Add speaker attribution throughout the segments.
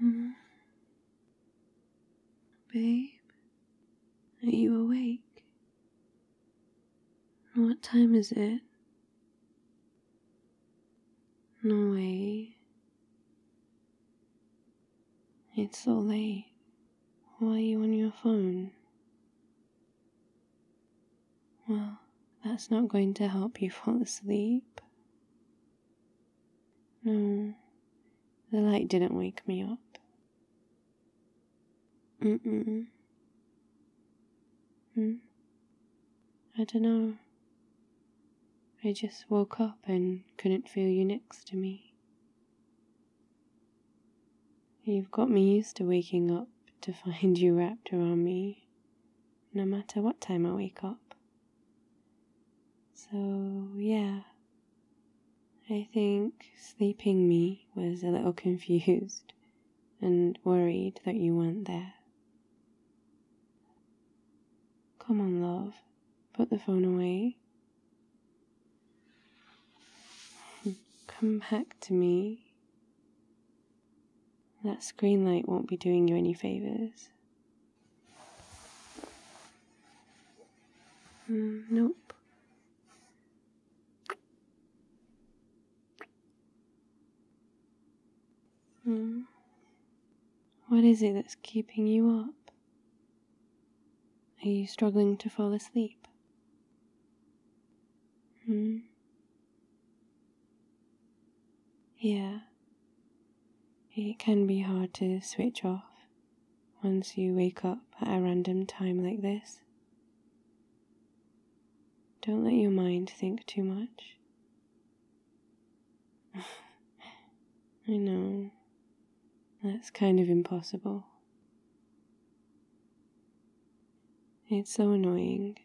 Speaker 1: Hmm? Babe, are you awake? What time is it? No way. It's so late. Why are you on your phone? Well, that's not going to help you fall asleep. No, the light didn't wake me up. Mm-mm. Hmm? I don't know. I just woke up and couldn't feel you next to me. You've got me used to waking up to find you wrapped around me, no matter what time I wake up. So, yeah, I think sleeping me was a little confused and worried that you weren't there. Come on, love, put the phone away Come back to me. That screen light won't be doing you any favors. Mm, nope. Mm. What is it that's keeping you up? Are you struggling to fall asleep? Hmm? Yeah. It can be hard to switch off once you wake up at a random time like this. Don't let your mind think too much. I know, that's kind of impossible. It's so annoying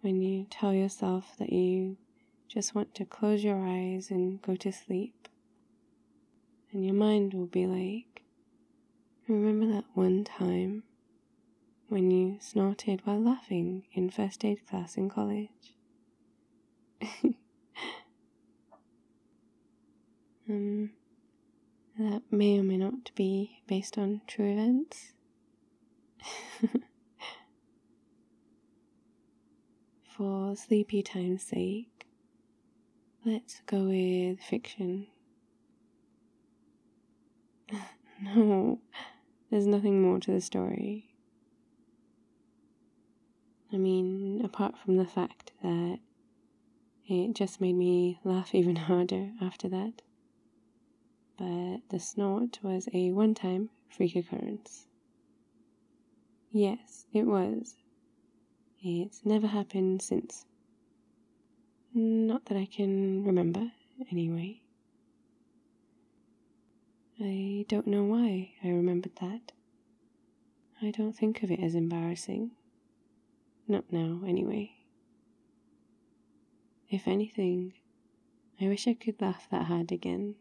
Speaker 1: when you tell yourself that you just want to close your eyes and go to sleep. And your mind will be like, remember that one time when you snorted while laughing in first aid class in college? um, that may or may not be based on true events. For sleepy time's sake, let's go with fiction. no, there's nothing more to the story. I mean, apart from the fact that it just made me laugh even harder after that. But the snort was a one time freak occurrence. Yes, it was. It's never happened since. Not that I can remember, anyway. I don't know why I remembered that. I don't think of it as embarrassing. Not now, anyway. If anything, I wish I could laugh that hard again,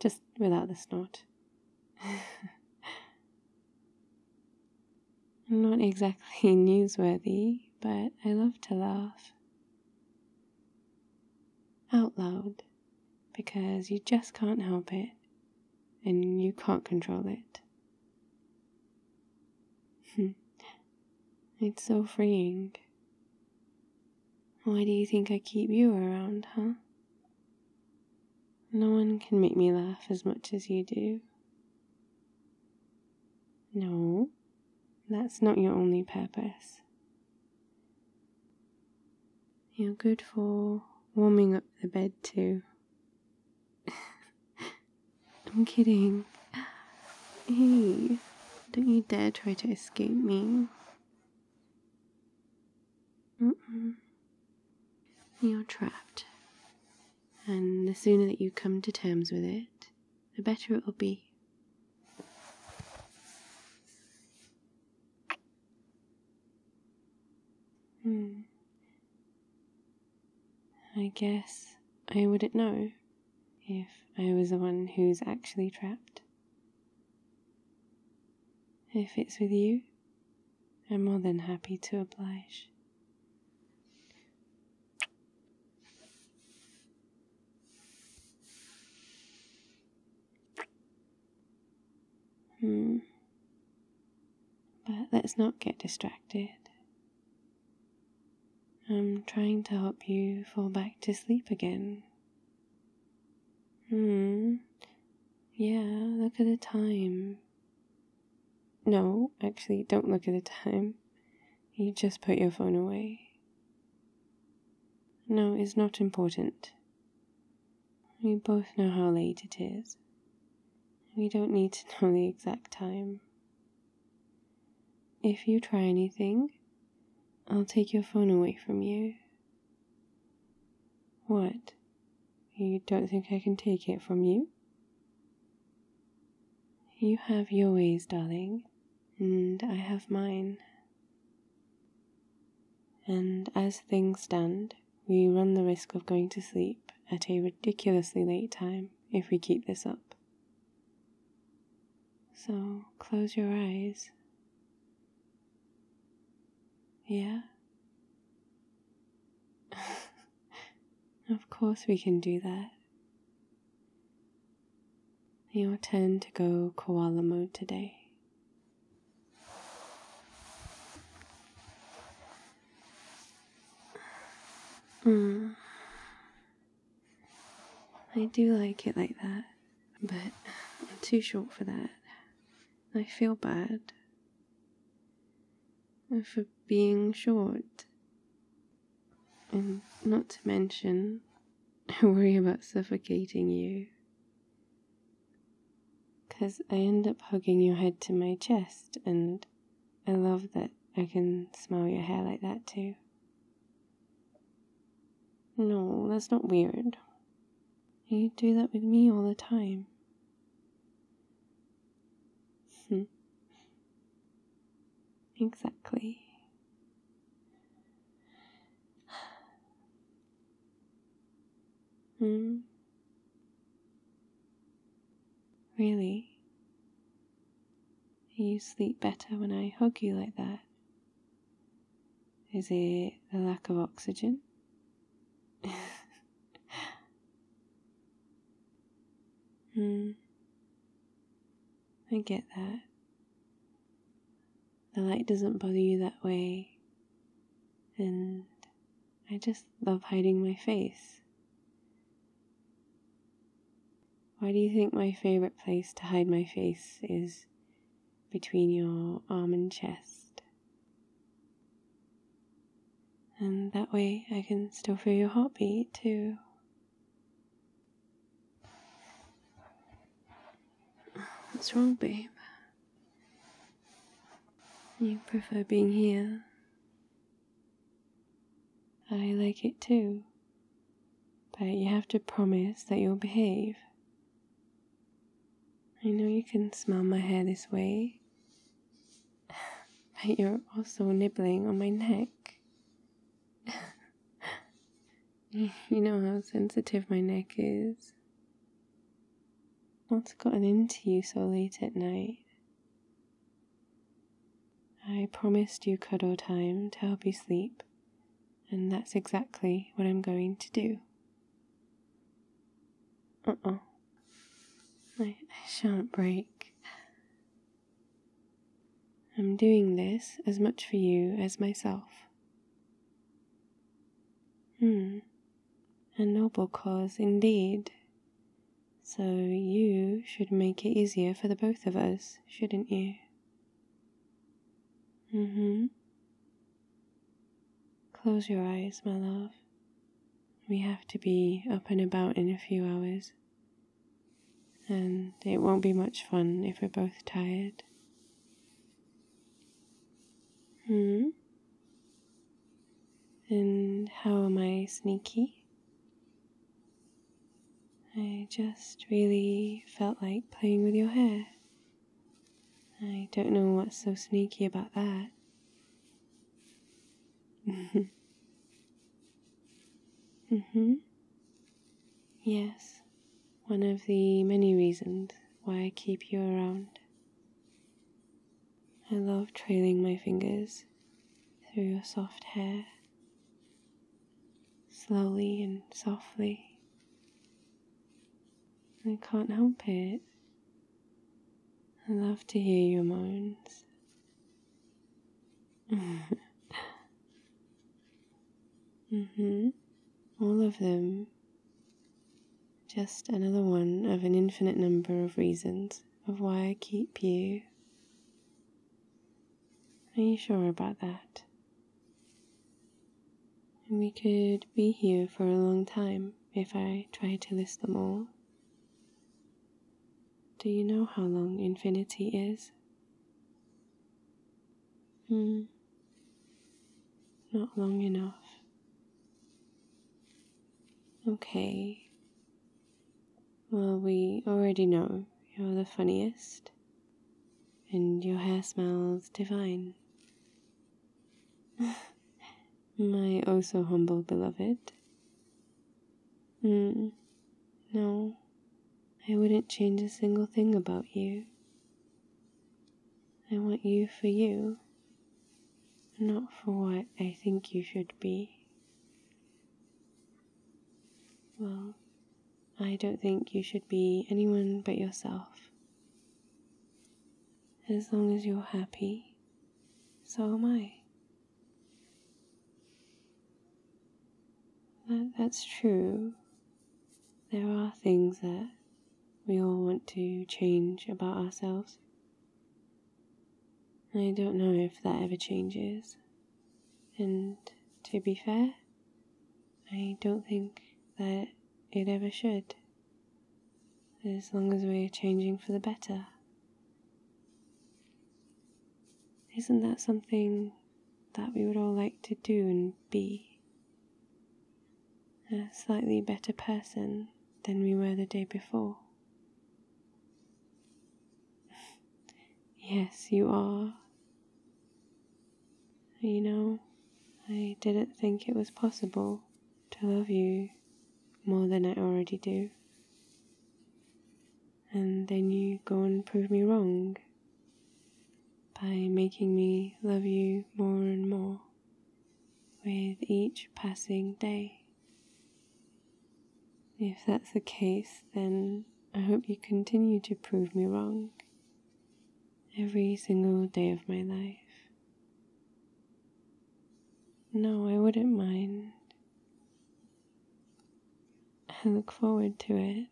Speaker 1: just without the snort. not exactly newsworthy, but I love to laugh. Out loud because you just can't help it and you can't control it. Hmm. it's so freeing. Why do you think I keep you around, huh? No one can make me laugh as much as you do. No, that's not your only purpose. You're good for warming up the bed, too. I'm kidding. Hey, don't you dare try to escape me. You're trapped. And the sooner that you come to terms with it, the better it'll be. Hmm. I guess I wouldn't know if I was the one who's actually trapped. If it's with you, I'm more than happy to oblige. Hmm. But let's not get distracted. I'm trying to help you fall back to sleep again. Hmm. Yeah, look at the time. No, actually, don't look at the time. You just put your phone away. No, it's not important. We both know how late it is. We don't need to know the exact time. If you try anything, I'll take your phone away from you. What? You don't think I can take it from you? You have your ways, darling, and I have mine. And as things stand, we run the risk of going to sleep at a ridiculously late time if we keep this up. So close your eyes. Yeah? of course, we can do that. Your turn to go koala mode today. Mm. I do like it like that, but I'm too short for that. I feel bad for being short. And not to mention, I worry about suffocating you because I end up hugging your head to my chest, and I love that I can smell your hair like that too. No, that's not weird. You do that with me all the time. Hmm. exactly. Hmm? Really? You sleep better when I hug you like that? Is it the lack of oxygen? hmm. I get that the light doesn't bother you that way. And I just love hiding my face. Why do you think my favorite place to hide my face is between your arm and chest? And that way I can still feel your heartbeat too. What's wrong, babe? You prefer being here. I like it too. But you have to promise that you'll behave. I know you can smell my hair this way, but you're also nibbling on my neck. You know how sensitive my neck is. What's gotten into you so late at night? I promised you cuddle time to help you sleep, and that's exactly what I'm going to do. Uh oh. I, I shan't break. I'm doing this as much for you as myself. Hmm, a noble cause indeed. So you should make it easier for the both of us, shouldn't you? Mm hmm. Close your eyes, my love. We have to be up and about in a few hours. And it won't be much fun if we're both tired. Hmm. And how am I sneaky? I just really felt like playing with your hair. I don't know what's so sneaky about that. mm hmm. Yes one of the many reasons why I keep you around. I love trailing my fingers through your soft hair, slowly and softly. I can't help it. I love to hear your moans. mhm. All of them just another one of an infinite number of reasons of why I keep you. Are you sure about that? we could be here for a long time if I try to list them all. Do you know how long infinity is? Hmm. Not long enough. Okay. Well, we already know you're the funniest, and your hair smells divine. My oh so humble beloved. Mm, no, I wouldn't change a single thing about you. I want you for you, not for what I think you should be. Well, I don't think you should be anyone but yourself. As long as you're happy, so am I. That, that's true there are things that we all want to change about ourselves. I don't know if that ever changes. And to be fair, I don't think that it ever should. As long as we're changing for the better. Isn't that something that we would all like to do and be? a slightly better person than we were the day before. yes, you are. You know, I didn't think it was possible to love you more than I already do. And then you go and prove me wrong by making me love you more and more with each passing day. If that's the case, then I hope you continue to prove me wrong every single day of my life. No, I wouldn't mind. I look forward to it.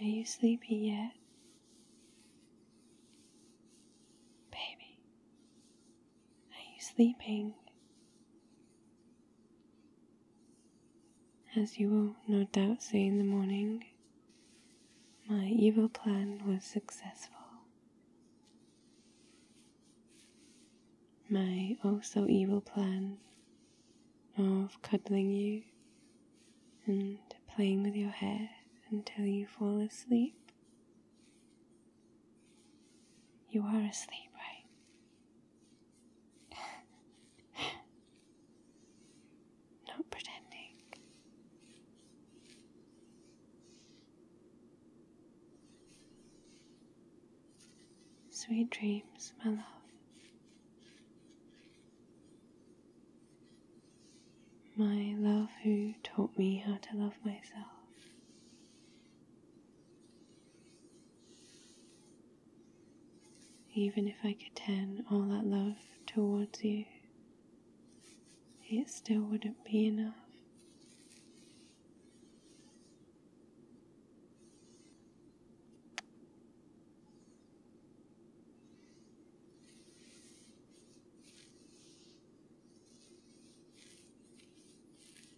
Speaker 1: Are you sleepy yet? Baby, are you sleeping? As you will no doubt say in the morning, my evil plan was successful. My oh so evil plan of cuddling you and playing with your hair until you fall asleep you are asleep, right? Not pretending. Sweet dreams, my love. My love who taught me how to love myself. Even if I could turn all that love towards you, it still wouldn't be enough.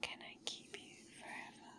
Speaker 1: Can I keep you forever?